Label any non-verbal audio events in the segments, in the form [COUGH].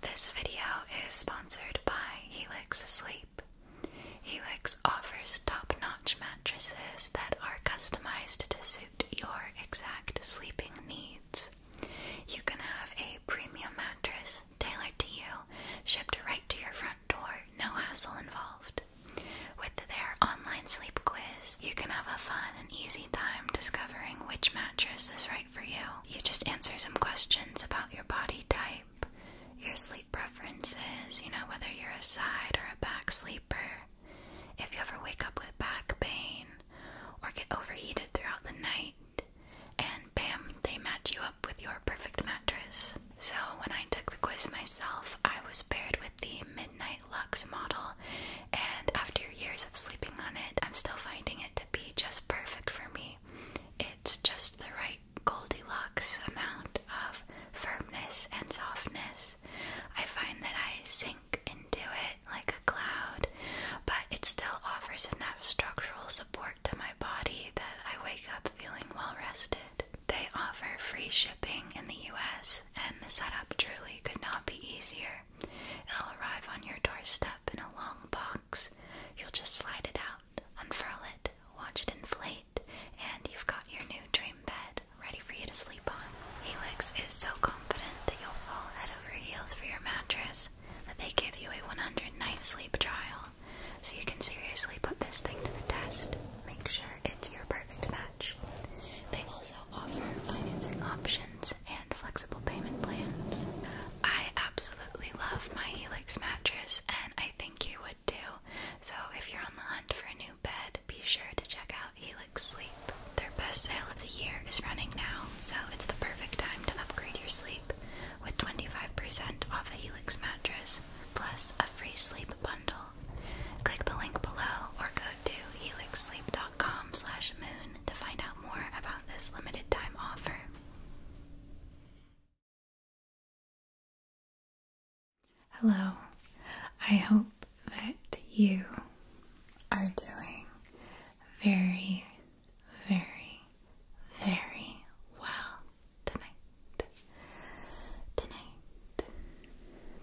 This video is sponsored by Helix Sleep. Helix offers top notch mattresses that are customized to suit your exact sleeping needs. You can have a premium mattress tailored to you, shipped right to your front door, no hassle involved. With their online sleep quiz, you can have a fun and easy time discovering which mattress is right for you. You just answer some questions about your body type, your sleep preferences, you know, whether you're a side or a back sleeper, if you ever wake up with back pain or get overheated throughout the night, and bam, they match you up with your perfect mattress. So, when I took the quiz myself, I was paired with the Midnight Lux model, and after years of sleeping on it, I'm still finding it to be just perfect for me. It's just the right Goldilocks amount of firmness and softness. I find that I sink into it like a cloud, but it still offers enough structural support to my body that I wake up feeling well rested. They offer free shipping in the US, and the setup truly could not be easier. It'll arrive on your doorstep in a long box you'll just slide it out, unfurl it, watch it inflate, and you've got your new dream bed ready for you to sleep on. Helix is so confident that you'll fall head over heels for your mattress that they give you a 100 night sleep trial, so you can seriously put this thing to the test. Make sure it's your perfect match. They also offer financing options flexible payment plans. I absolutely love my Helix mattress and I think you would too. So if you're on the hunt for a new bed, be sure to check out Helix Sleep. Their best sale of the year is running now, so it's the perfect time to upgrade your sleep with 25% off a Helix mattress plus a free sleep bundle. Click the link below or go to helixsleep.com slash moon to find out more about this limited time offer. Hello. I hope that you are doing very, very, very well tonight. Tonight.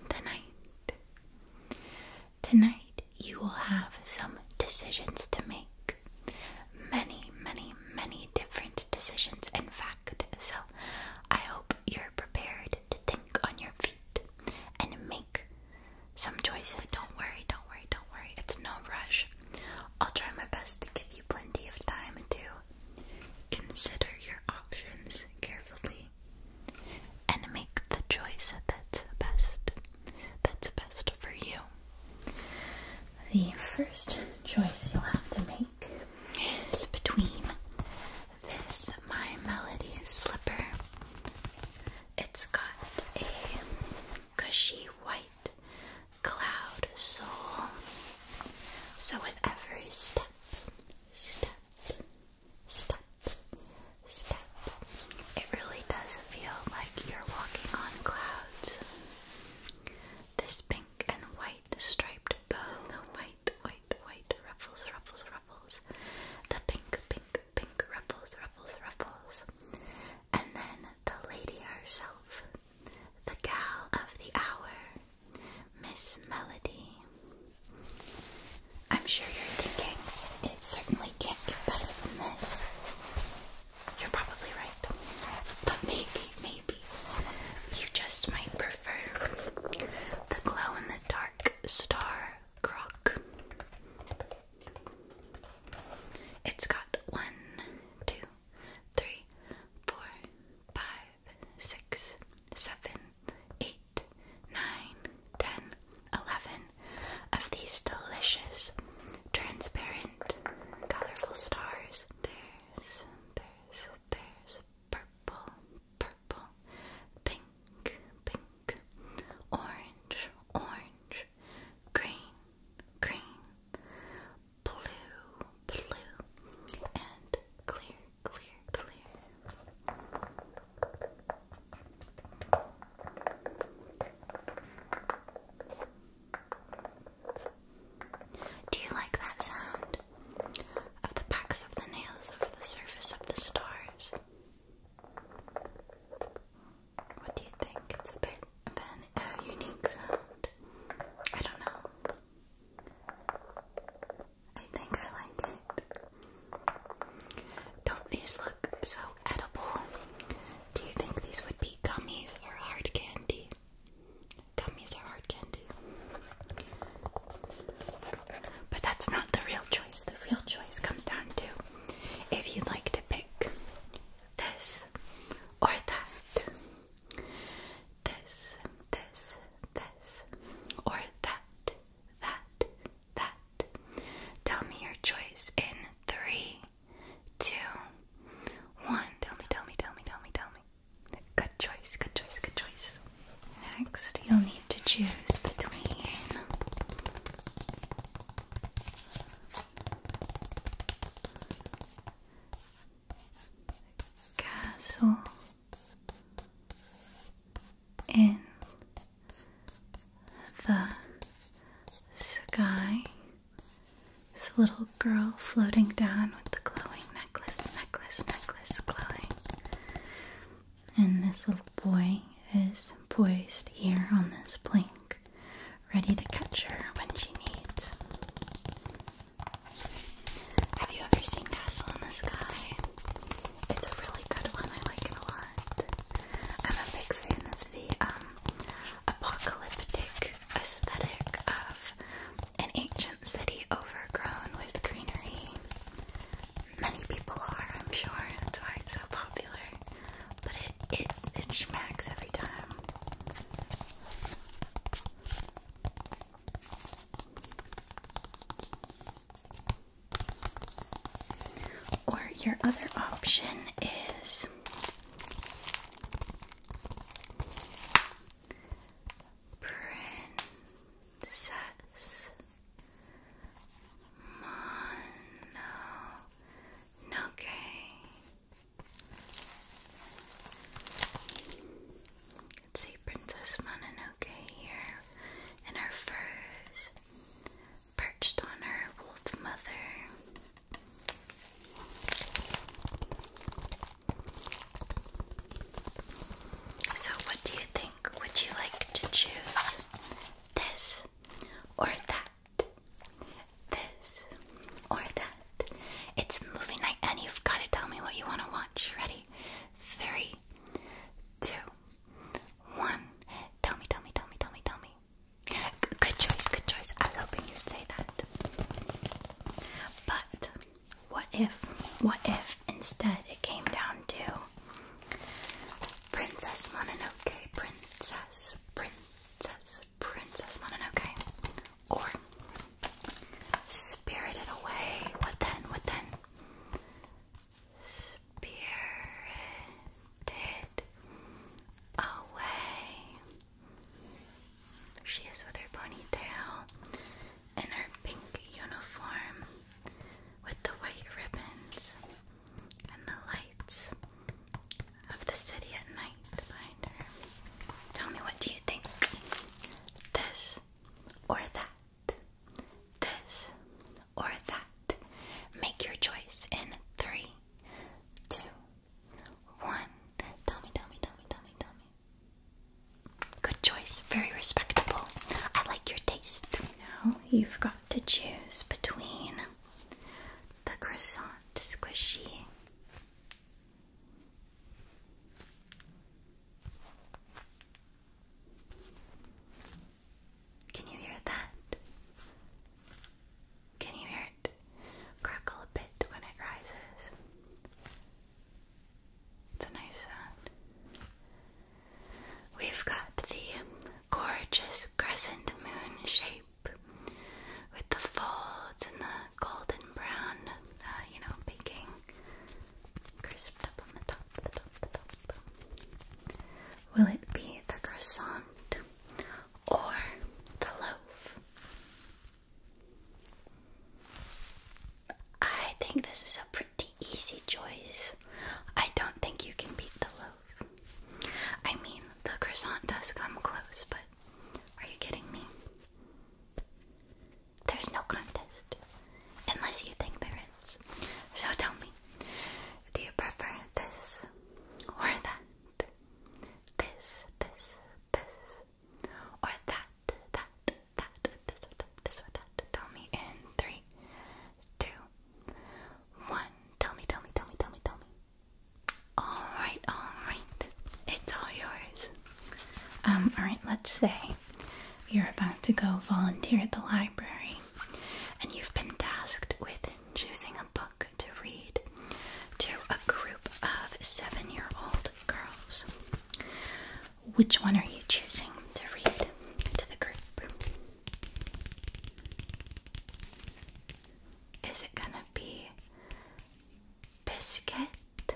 Tonight. Tonight you will have some decisions to make. Many, many, many different decisions, in fact. So I hope you're prepared to think on your feet and make some choices. don't worry, don't worry, don't worry. It's no rush. I'll try my best to give you plenty of time to consider your options carefully and make the choice that's best. That's best for you. The first choice you'll have to make is between this My Melody slipper. It's got a cushy white cloud sole. So with every step, step, step, step, it really does feel like you're walking on clouds. This pink and white striped bow, the white, white, white ruffles, ruffles, ruffles, the pink, pink, pink ruffles, ruffles, ruffles, and then the lady herself, the gal of the hour, Miss Melody. I'm sure you're thinking it certainly can't get better than this. You're probably right. But maybe, maybe you just might prefer the glow in the dark star croc. It's got one, two, three, four, five, six, seven, eight, nine, ten, eleven, of these delicious, transparent, colorful stars. There's, there's, there's purple, purple, pink, pink, orange, orange, green, green, blue, blue, and clear, clear, clear. Do you like that sound of the backs of the nails over the surface of the stars? What do you think? It's a bit of an unique sound. I don't know. I think I like it. Don't these look so edible? Do you think these would be gummies or hard candy? Gummies are hard candy. But that's not the real choice. The real choice comes down to if you'd like to pick this or that. This, this, this, or that, that, that. Tell me your choice in three, Three, two, one. Tell me, tell me, tell me, tell me, tell me. Good choice, good choice, good choice. Next, you'll need to choose between castle in the sky this little girl floating down with the glowing necklace, necklace, necklace glowing. And this little boy is poised here on this plank, ready to catch her when she needs. Have you ever seen Castle in the Sky? It's a really good one, I like it a lot. I'm a big fan the um, apocalyptic aesthetic of an ancient city overgrown with greenery. Many people are, I'm sure. That's why it's so popular. But it it's, it schmacks every time. Or your other option is Princess Mononoke. Let's see Princess Mononoke here in her furs, perched on her wolf mother. So, what do you think? Would you like to choose this or that? This or that? It's movie night, and you've got to tell me what you want to watch. Ready? Three, two, one. Tell me, tell me, tell me, tell me, tell me good choice, good choice. I was hoping you'd say that. But what if, what if instead it came down to Princess Mononoke, Princess, Princess, Princess Mononoke, or Spirited Away? What then? What then? Spirited Away. She is with her ponytail in her pink uniform with the white ribbons and the lights of the city at night behind her. Tell me what do you think? This or that? This or that? Make your choice in three, two, one. Tell me, tell me, tell me, tell me, tell me. Good choice. Very respectable. I like your taste. Now you've got to choose between the croissant squishy can you hear that? Can you hear crackle a bit when it rises. It's a nice sound. We've got the gorgeous crescent moon shape with the folds and the golden brown, uh, you know, baking crisped up on the top. Will it be the croissant or the loaf? I think this is a pretty easy choice. I don't think you can beat the loaf. I mean, the croissant does come close, but are you kidding me? There's no contest. Unless you think there is. So tell me, do you prefer this or that? this, this, this, or that, that, that, this or this or that. Tell me in three, two, one. Tell me, tell me, tell me, tell me, tell me. Alright, alright. It's all yours. Um, alright, let's say you're about to go volunteer at the library and you've been tasked with choosing a book to read to a group of seven year old girls. Which one are you choosing to read to the group? Is it gonna be Biscuit?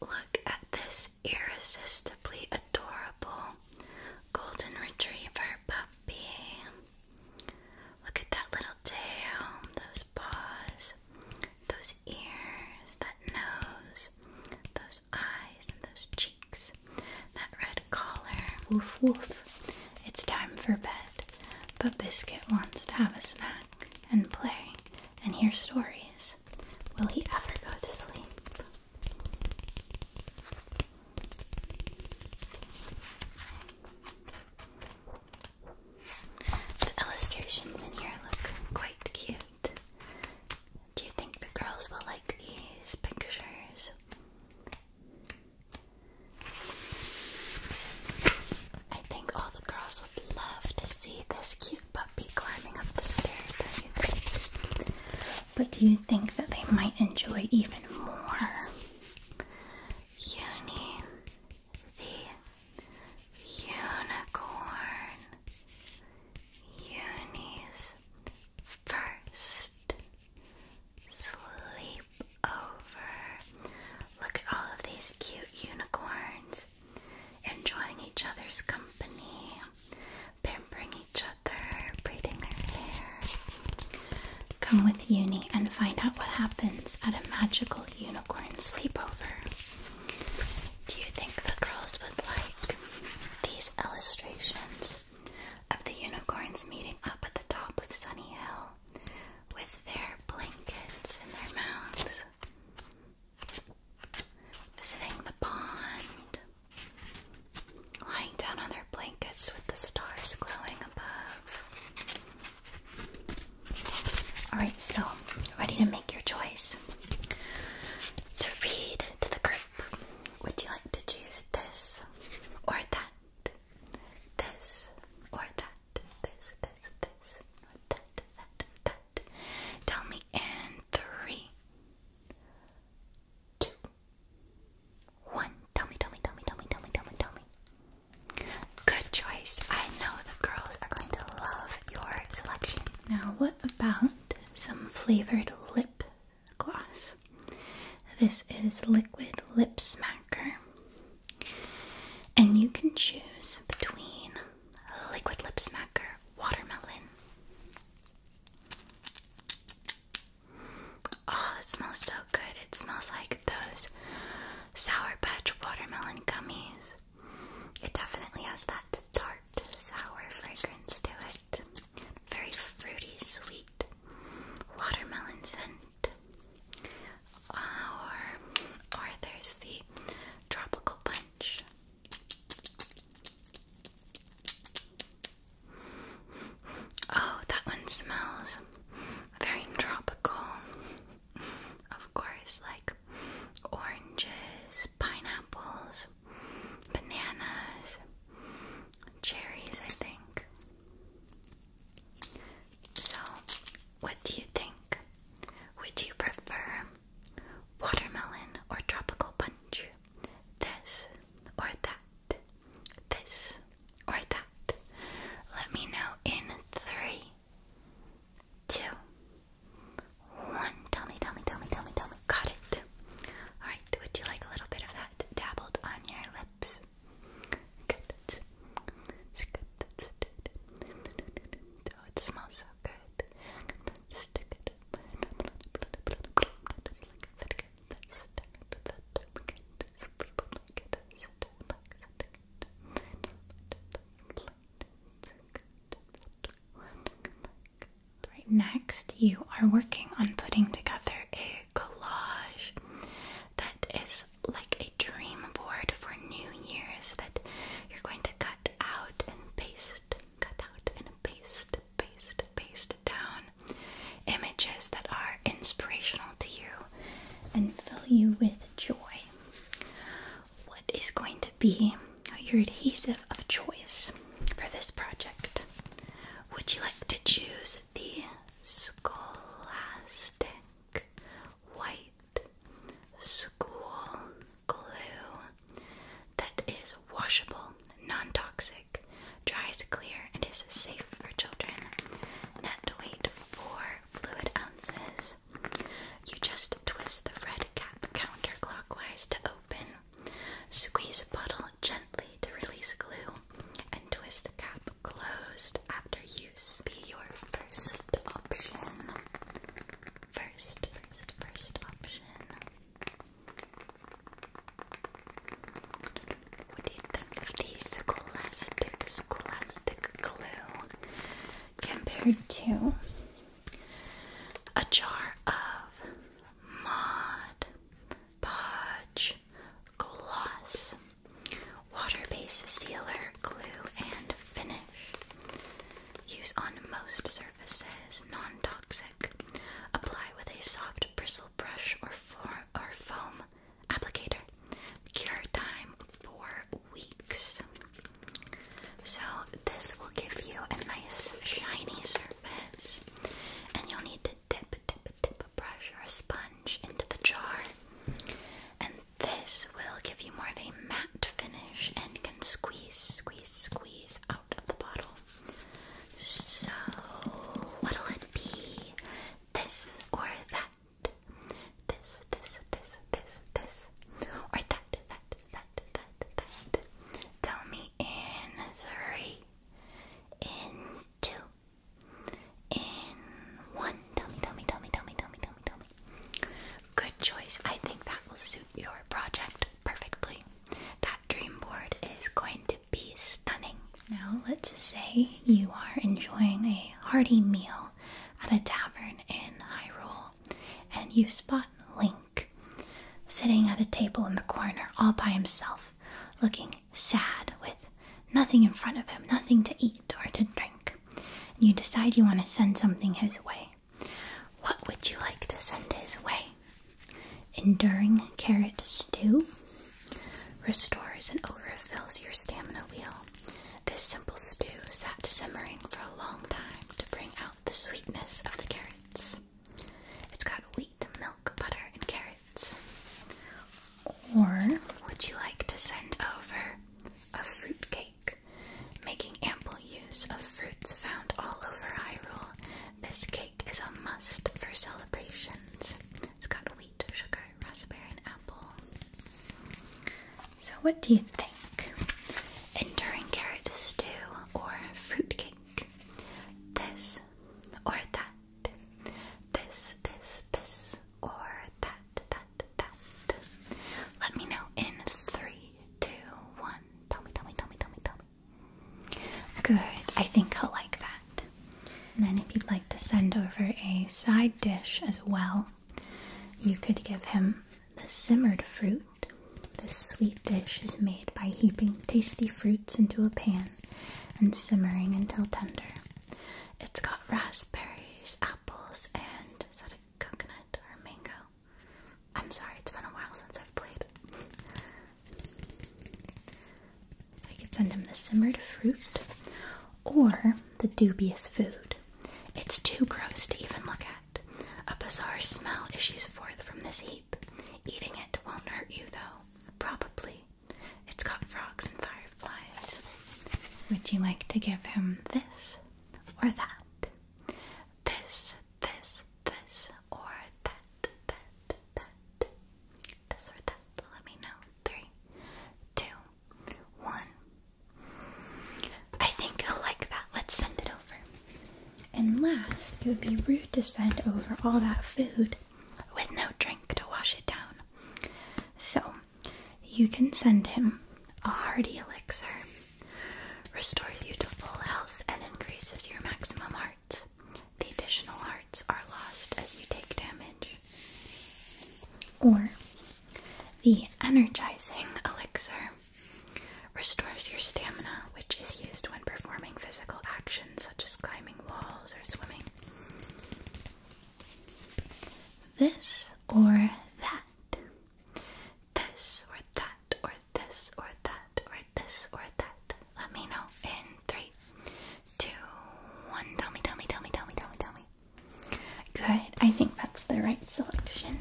Look at this irresistibly adorable golden retriever puppy. Look at that little tail, those paws, those ears, that nose, those eyes, and those cheeks, that red collar. Woof woof. It's time for bed, but Biscuit wants to have a snack and play and hear stories. Will he ever go to sleep? The illustrations in here look quite cute. Do you think the girls will like these pictures? I think all the girls would love to see this cute puppy climbing up the stairs, But do you think that they might enjoy even more Uni the unicorn. Uni's first sleepover. Look at all of these cute unicorns enjoying each other's company, pampering each other, braiding their hair. Come with Uni and find out what happens at a magical unicorn sleepover. Do you think the girls would like these illustrations of the unicorns meeting up at the top of Sunny Hill with their blankets in their mouths? Visiting the pond, lying down on their blankets with the stars glowing above, Alright, so ready to make your choice. To read to the group, would you like to choose this or that? This or that? This, this, this, or that, that, that. Tell me in three, two, one. Tell me, tell me, tell me, tell me, tell me, tell me, tell me. Good choice. I know the girls are going to love your selection. Now, what about some flavored lip gloss? This is Liquid Lip Smacker. And you can choose between Liquid Lip Smacker Watermelon Oh, it smells so good. It smells like those Sour Patch watermelon gummies. It definitely has that tart, sour fragrance to it. Very fruity, sweet watermelon scent. Or, or there's the tropical punch. Oh, that one smells very tropical. Of course, like oranges, pineapples, bananas, cherries, I think. So, what do you think? Would you prefer watermelon or tropical punch? This or that? this, or that. Let me know in three, two, one. Tell me, tell me, tell me, tell me, tell me. Got it. Alright, would you like a little bit of that dabbled on your lips? Good. Oh, it smells so good. Right next, you are working on putting together a collage that is like a dream board for New Year's that you're going to cut out and paste, cut out and paste, paste, paste down images that are inspirational to you and fill you with joy. What is going to be your adhesive of choice for this project? Would you like to choose the Scholastic White School Glue that is washable, non toxic, dries clear, and is safe for children? Net weight 4 fluid ounces. You just twist the red cap counterclockwise to open. Squeeze the bottle gently to release glue and twist the cap closed after use. Be your first option. First, first, first option. What do you think of these Scholastic Scholastic glue compared to a jar of Mod Podge Gloss water-based sealer glue and finish? Use on most surfaces, non-toxic. Apply with a soft bristle brush or foam applicator. Cure time for weeks. So this will give you a nice shiny surface, and you'll need to dip, dip, dip a brush or a sponge into the jar, and this will give you more of a matte finish and can squeeze, squeeze, squeeze out of the bottle. So what'll it be? This or that? this, this, this, this, this, or that, that, that, that, that. Tell me in three, in two, in one. Tell me, tell me, tell me, tell me, tell me, tell me, tell me. Good choice. I think that will suit your project perfectly. That dream board is going to be stunning. Now, let's say you are enjoying a hearty meal at a tavern in Hyrule, and you spot Link sitting at a table in the corner all by himself, looking sad with nothing in front of him, nothing to eat or to drink. And you decide you want to send something his way. What would you like to send his way? Enduring carrot stew? Restores and overfills your stamina wheel. This simple stew sat simmering for a long time to bring out the sweetness of the carrots. It's got wheat, milk, butter, and carrots. Or would you like to send over a fruit cake? Making ample use of fruits found all over Hyrule, this cake is a must for celebrations. It's got wheat, sugar, raspberry and apple. So what do you think? Enduring carrot stew or fruitcake? This or that? This, this, this, or that, that, that. Let me know in three, two, one. Tell me, tell me, tell me, tell me, tell me. Good. I think I'll like that. And then, if you'd like to send over a side dish as well, you could give him the simmered fruit. This sweet dish is made by heaping tasty fruits into a pan and simmering until tender. It's got raspberries, apples, and is that a coconut or a mango? I'm sorry, it's been a while since I've played. I could send him the simmered fruit or the dubious food. It's too gross to even look at. A bizarre smell issues forth from this heap. Eating it won't hurt you, though. Probably. It's got frogs and fireflies. Would you like to give him this or that? This, this, this, or that, that, that. This or that. Let me know. Three, two, one. I think i like that. Let's send it over. And last, it would be rude to send over all that food with no drink to wash it down. So, you can send him a hearty elixir, restores you to full health, and increases your maximum hearts. The additional hearts are lost as you take damage. Or the energizing elixir restores your stamina, which is used when performing physical actions such as climbing walls or swimming. This or that. This or that or this or that or this or that. Let me know in three, two, one. Tell me, tell me, tell me, tell me, tell me, tell me. Good, I think that's the right selection.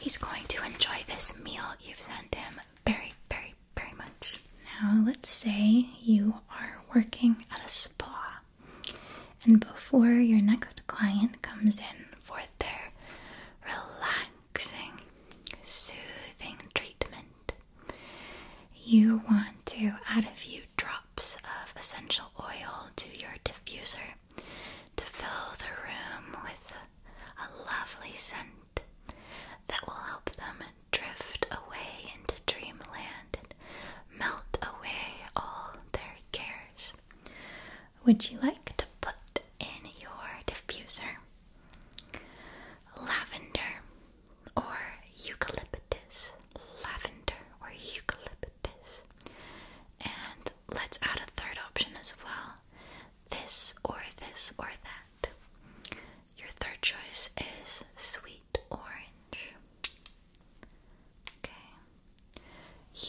He's going to enjoy this meal you've sent him very, very, very much. Now, let's say you are working at a spa, and before your next client comes in for their relaxing, soothing treatment, you want to add a few drops of essential oil to your diffuser to fill the room with a lovely scent that will help them drift away into dreamland and melt away all their cares. Would you like to put in your diffuser? Lavender or eucalyptus, lavender or eucalyptus. And let's add a third option as well this or this or that. Your third choice is sweet orange. Okay.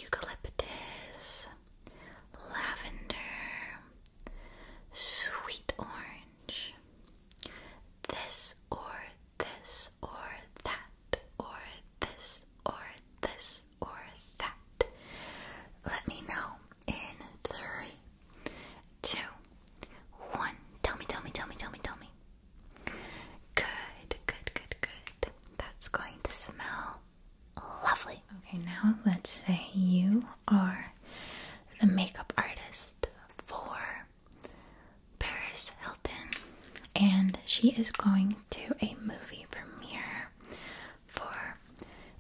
Eucalyptus, lavender, sweet orange, this or this or that, or this or this or that. Let me know in three, two, one. Tell me, tell me, tell me, tell me, tell me. Good, good, good, good. That's going to smell lovely. Okay, now let's say you are the makeup artist for Paris Hilton, and she is going to a movie premiere for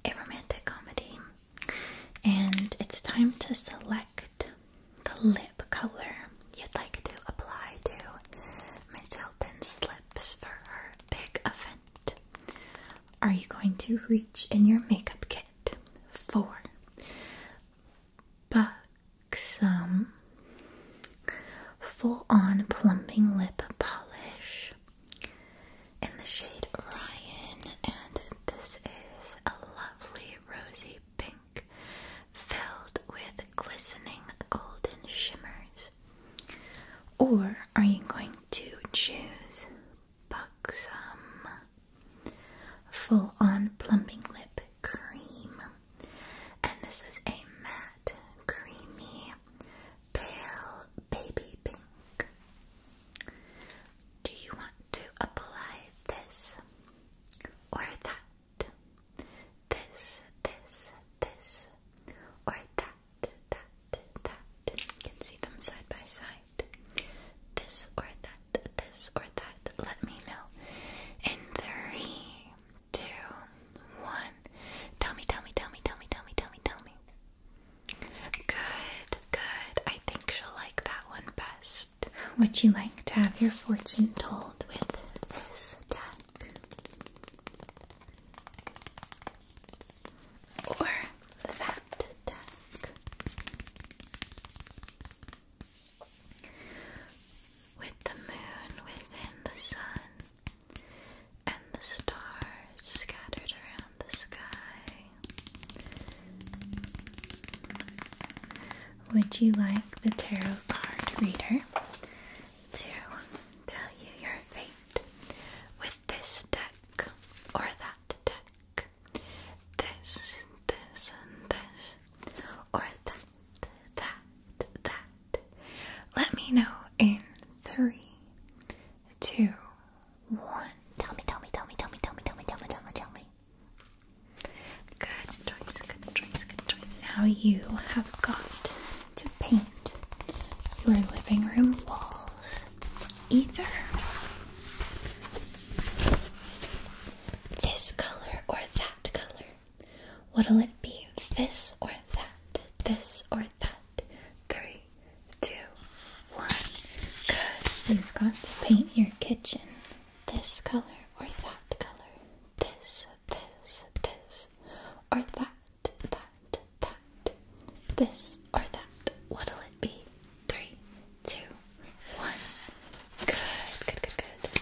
a romantic comedy. And it's time to select the lip color you'd like to apply to Miss Hilton's lips for her big event. Are you going to reach in your makeup kit for buxom full on plumping lip polish in the shade Ryan, and this is a lovely rosy pink filled with glistening golden shimmers. Or are you going to choose buxom? Full on plumping lip cream and this is a matte, creamy, pale baby pink. Do you want to apply this or that? This, this, this, or that, that, that. You can see them side by side. This or that that, this, or that, let me know. In three, two, one. Tell me, tell me, tell me, tell me, tell me, tell me, tell me. Good, good. I think she'll like that one best. Would you like to have your fortune told with this deck? Or that deck? With the moon within the sun and the stars scattered around the sky. Would you like the tarot card reader to tell you your fate with this deck or that deck? This, this, and this, or that that, that. Let me know in three, two, one. Tell me, tell me, tell me, tell me, tell me, tell me, tell me, tell me, tell me. Good choice, good choice, good choice. Now you have got to paint your living room walls either this color or that color. What'll it be? This or that? This or that? Three, two, one. Good. You've got to paint your kitchen this color or that color. This, this, this, or that, that, that. This or that. What'll it be? Three, two, one. Good, good, good, good.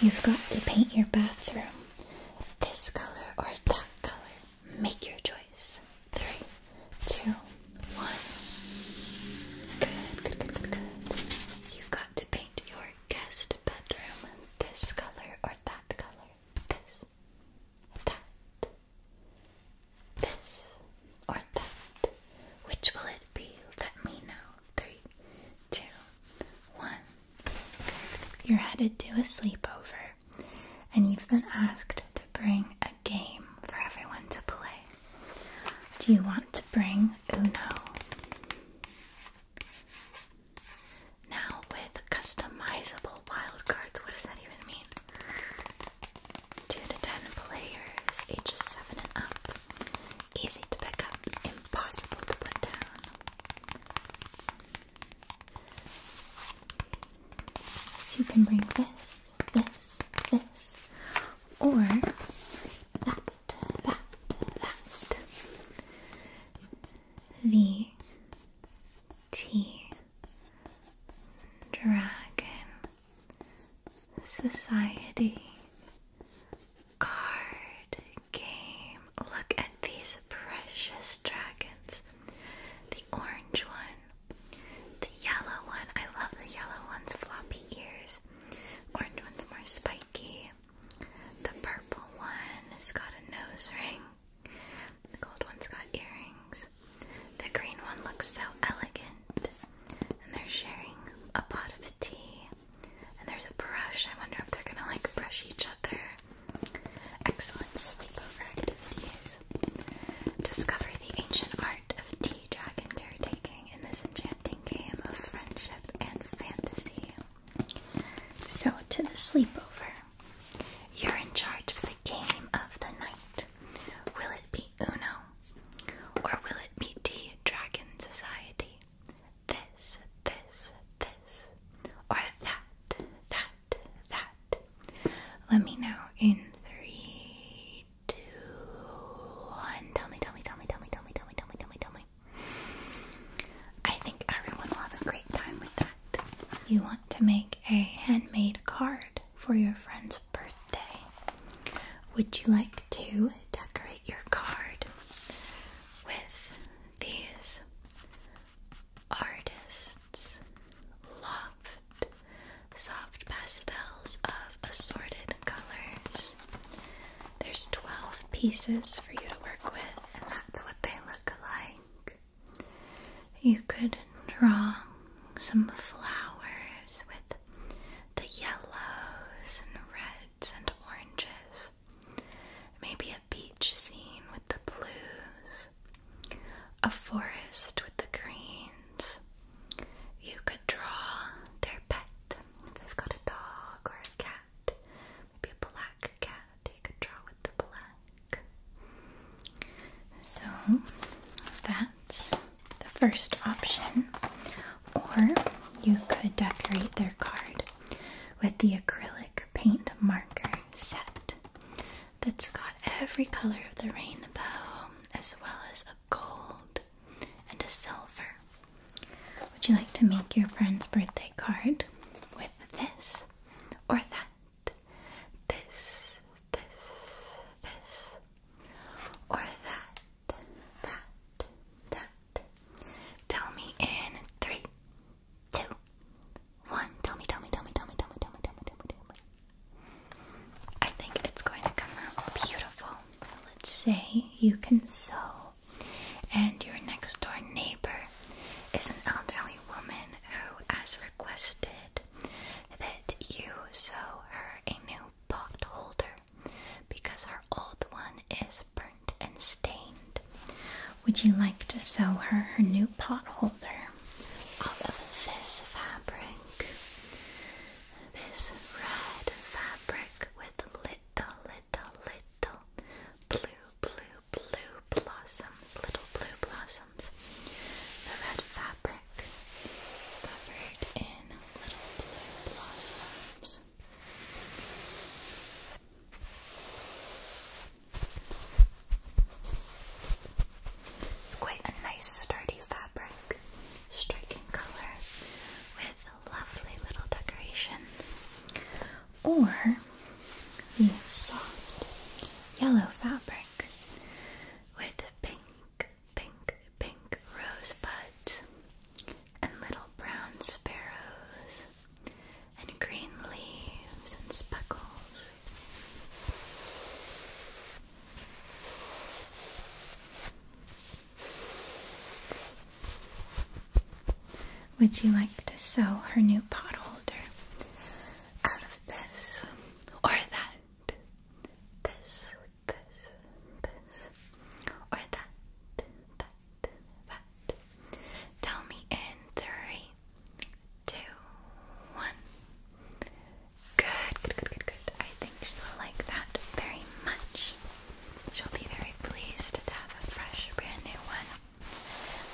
You've got to paint your bathroom this color or that color. Make your choice. Three, two, one. Good, good, good, good, You've got to paint your guest bedroom this color or that color. This, that, this or that? Which will it be? Let me know. Three, two, one. You're headed to a sleepover, and you've been asked to bring a game for everyone to play. Do you want to bring Uno? Now, with customizable wild cards. what does that even mean? 2 to 10 players, ages 7 and up. Easy to pick up, impossible to put down. So you can bring this, this, this, or that, that, that. The T Dragon Society card game. Look at these precious dragons. The orange one, the yellow one. I love the yellow one's floppy ears. Orange one's more spiky. The purple one has got a nose ring. The gold one's got earrings. The green one looks so elegant and they're sharing a pot of tea. And there's a brush. I wonder if they're gonna like brush each other. Excellent sleepover activities. Discover the ancient art of tea dragon caretaking in this enchanting game of friendship and fantasy. So, to the sleepover. You're in charge of the game of the night. Will it be Uno, or will it be Tea Dragon Society? This, this, this, or that, that, that. Let me know in three, two, one. Tell me, tell me, tell me, tell me, tell me, tell me, tell me, tell me, tell me. I think everyone will have a great time with that. You want to make a handmade card for your friends birthday. Would you like to decorate your card with these artists' loved soft pastels of assorted colors? There's 12 pieces for you to work with, and that's what they look like. You could draw some flowers with the yellows and reds and oranges. Maybe a beach scene with the blues, a forest with the greens. You could draw their pet. they've got a dog or a cat, maybe a black cat, you could draw with the black. So that's the first option, or you could decorate their card with the acrylic paint marker set that's got every color of the rainbow as well as a gold and a silver. Would you like to make your friend's birthday card with this or that? This, this, this, or that, that, that. Tell me in three, two, one. Tell me, tell me, tell me, tell me, tell me, tell me, tell me, tell me, tell me. I think it's going to come out beautiful. Let's say you can sew, and your next door neighbor is an elderly woman who has requested that you sew her a new pot holder because our old one is burnt and stained. Would you like to sew her her new pot holder out of this fabric? This red fabric with little, little, little blue, blue, blue blossoms, little blue blossoms. The red fabric fabric covered in little blue blossoms. It's quite a nice sturdy fabric, striking color with lovely little decorations. Or the soft yellow fabric with pink pink, pink rosebuds, and little brown sparrows, and green leaves and speckles. Would you like to sew her new pot holder out of this or that? This this, this, or that, that, that. Tell me in three, two, one. Good, good, good, good, good. I think she'll like that very much. She'll be very pleased to have a fresh, brand new one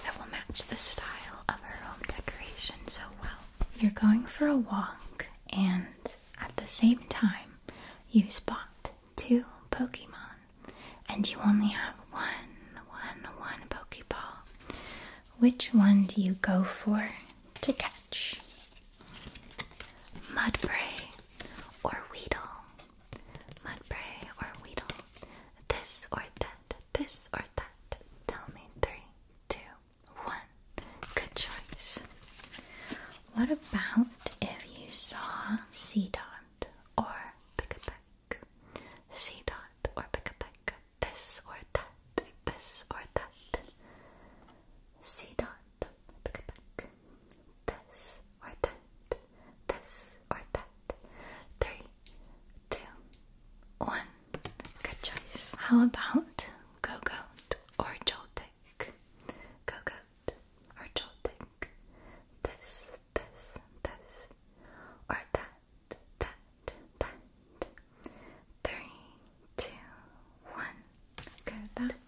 that will match the style of her home decoration so well. You're going for a walk and at the same time, you spot two Pokemon, and you only have one, one, one Pokeball. Which one do you go for to catch? Mudbray or Weedle? Mudbray or Weedle? This or that? This or that? Tell me. Three, two, one. Good choice. What about if you saw C dot or pick a peck? C dot or pick a peck. This or that. This or that. C dot. Pick a peck. This or that. This or that. Three, two, one. Good choice. How about go goat or jolting?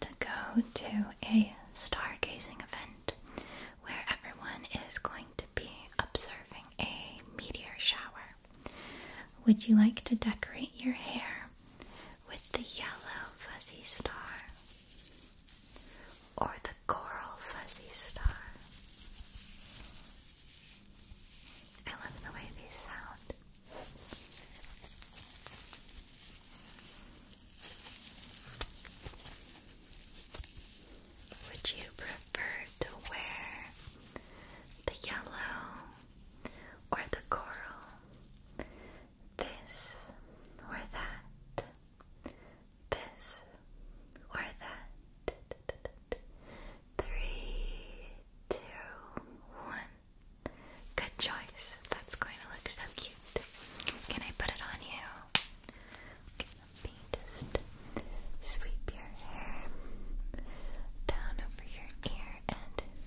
To go to a stargazing event where everyone is going to be observing a meteor shower. Would you like to decorate your hair with the yellow fuzzy star or the coral fuzzy star. I love the way these sound. Would you prefer to wear the yellow or the coral? This or that. This or that. Three, two, one. Good choice. That's going to look so cute. Can I put it on you? let me just sweep your hair down over your ear and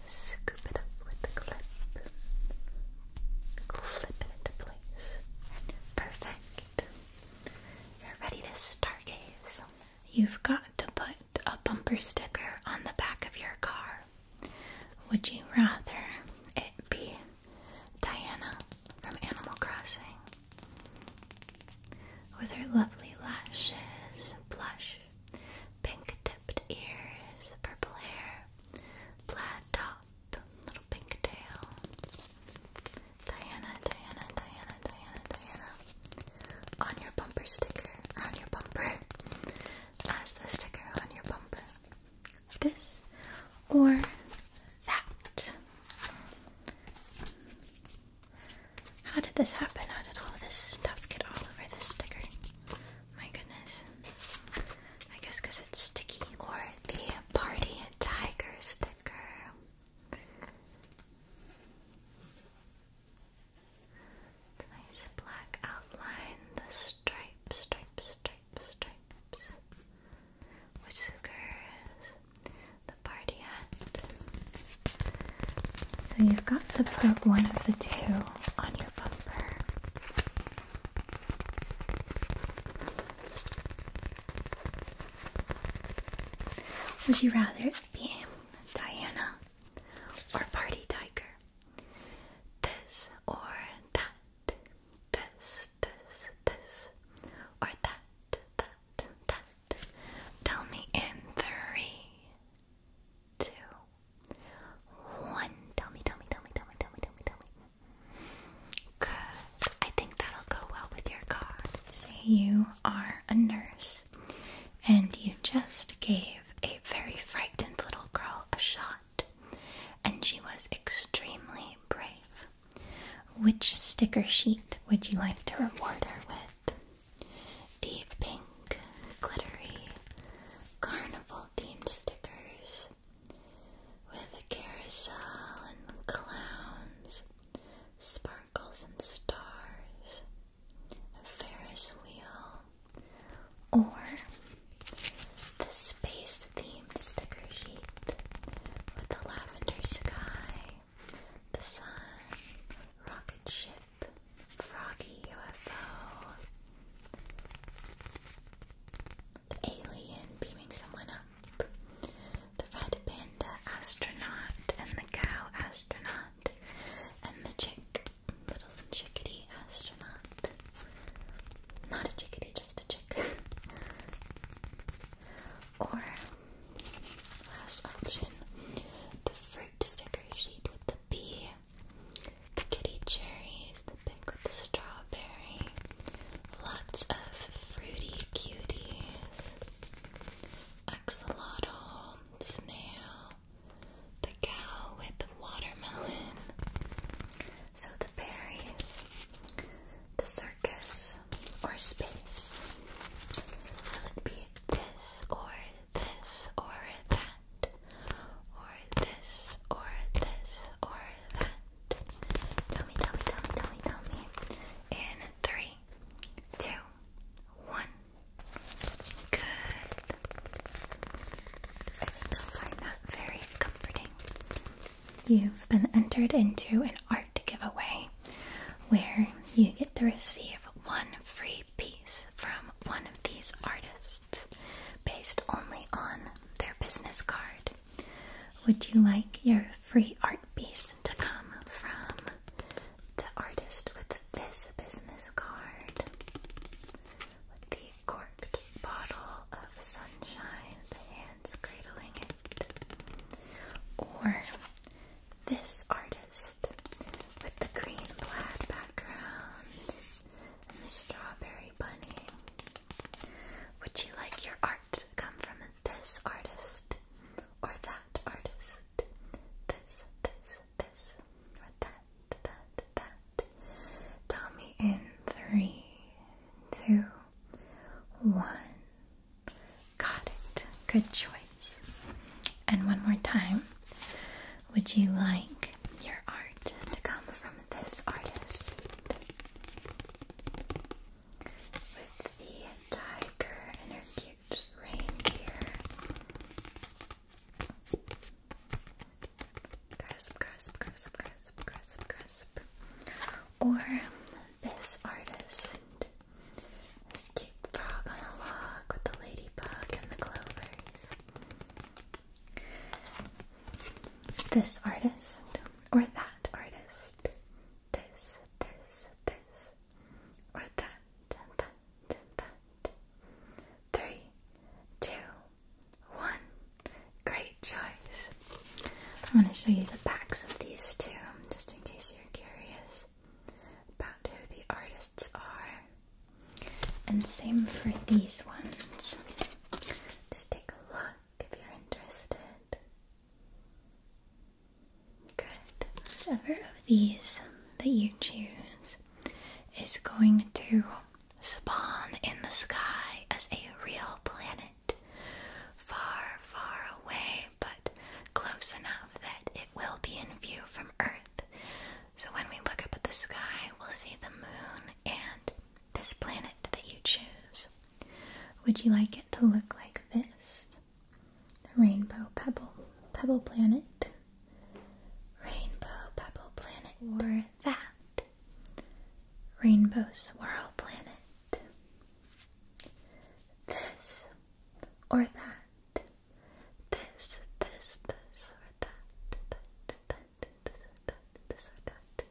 scoop it up with the clip. Clip it into place. Perfect. You're ready to stargaze. You've got to put a bumper sticker on the back of your car. Would you rather it be Diana from Animal Crossing? With her lovely lashes, blush, pink tipped ears, purple hair, plaid top, little pink tail. Diana, Diana, Diana, Diana, Diana. On your bumper sticker, or on your bumper, as the sticker on your bumper. This or that. How did this happen? How did all this stuff get all over this sticker? My goodness. I guess it's sticky. Or the Party Tiger sticker. The nice black outline, the stripes, stripes, stripes, stripes. Whiskers, the party hat. So you've got to put one of the two on your would you rather be Diana or Party Tiger? This or that. This, this, this. Or that, that, that. Tell me in three, two, one. Tell me, tell me, tell me, tell me, tell me, tell me, tell me. Good. I think that'll go well with your cards. You are a nurse, and you just gave a very frightened little girl a shot, and she was extremely brave. Which sticker sheet would you like to reward her with? the pink glittery carnival themed stickers with a carousel and clowns, sparkles and stars, a Ferris wheel, or the space themed sticker sheet with the lavender sky, the sun, rocket ship, Froggy UFO. The alien beaming someone up. The red panda astronaut and the cow astronaut. And the chick, little chickadee astronaut. Not a chickadee, just a chick. [LAUGHS] or, last option, the fruit sticker sheet with the bee the kitty cherries, the pink with the strawberry, lots of fruity cuties, axolotl, snail, the cow with the watermelon, so the berries, the circus, or space. Will it be this or this or that? or this, or this, or that. Tell me, tell me, tell me, tell me, tell me. In three, two, one. Good. I think you'll find that very comforting. You've been entered into an art giveaway where you get to receive one free piece from one of these artists based only on their business card. Would you like your free art piece to come from the artist with this business card? With the corked bottle of sunshine, the hands cradling it. Or this artist with the green plaid background and the strawberry bunny. Would you like your art to come from this artist or that artist? This, this, this, or that, that, that. Tell me in three, two, one. Got it. Good choice. And one more time. Would you like your art to come from this artist? With the tiger and her cute reindeer. Grasp, grasp, grasp, grasp, grasp, grasp. Or this artist. This cute frog on a log with the ladybug and the clovers. This artist or that artist. This, this, this, or that, that, that. Three, two, one. Great choice. I'm going to show you the backs of these two, just in case you're curious about who the artists are. And same for these ones. Just take a look if you're interested. Good. Whichever of these that you choose is going to spawn in the sky as a real planet. Far, far away, but close enough that it will be in view from Earth. So when we look up at the sky, we'll see the moon and this planet that you choose. Would you like it to look like this? The rainbow pebble pebble planet. Rainbow pebble planet. Or that. Rainbow swirl planet. This or that this, this, this, or that, that, this this or that.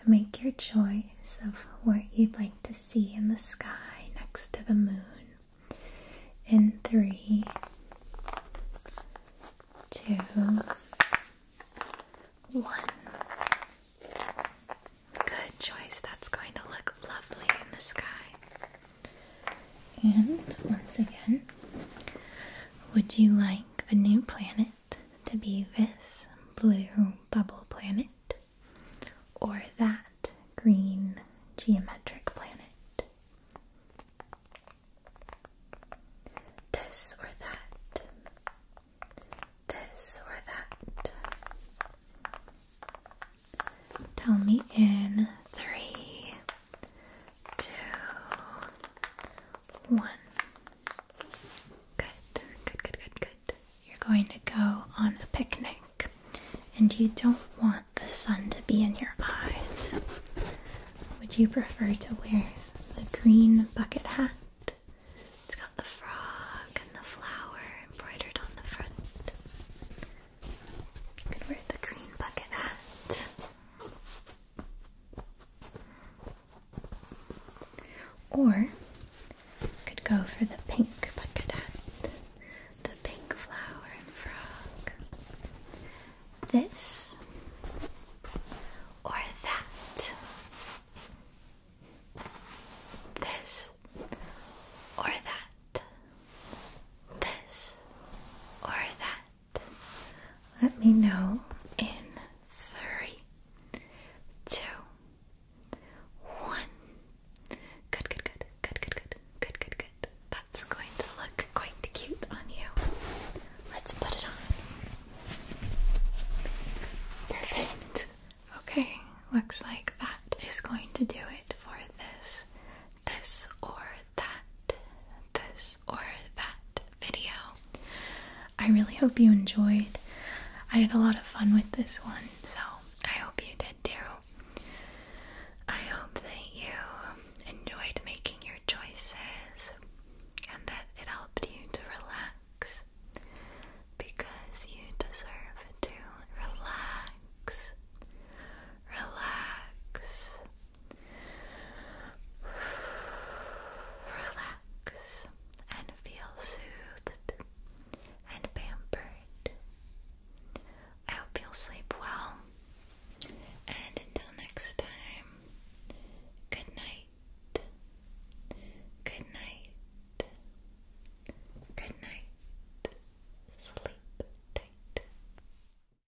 And make your choice of what you'd like to see in the sky next to the moon in three, two, one. Good choice. That's going to look lovely in the sky. And once again, would you like the new planet to be this blue bubble planet or that green geometric planet? This or that? This or that? Tell me in three, two, one. Good, good, good, good, good. You're going to go on a picnic, and you don't want the sun to be in your eyes. Would you prefer to wear the green bucket hat? It's got the frog and the flower embroidered on the front. wear the green bucket hat. Or could go for the pink bucket the pink flower and frog. This or that. This or that. This or that. Let me know in three, two, one. Good, good, good, good, good, good, good, good, good. That's going to look quite cute on you. Let's put it on. Perfect. Okay, looks like that is going to do it for this this or that, this or that video. I really hope you enjoyed. I had a lot of fun with this one, so I hope you did too. I hope that you enjoyed making your choices and that it helped you to relax because you deserve to relax relax, relax, and feel soothed and pampered. I hope you'll sleep well, and until next time, good night, good night, good night, sleep tight.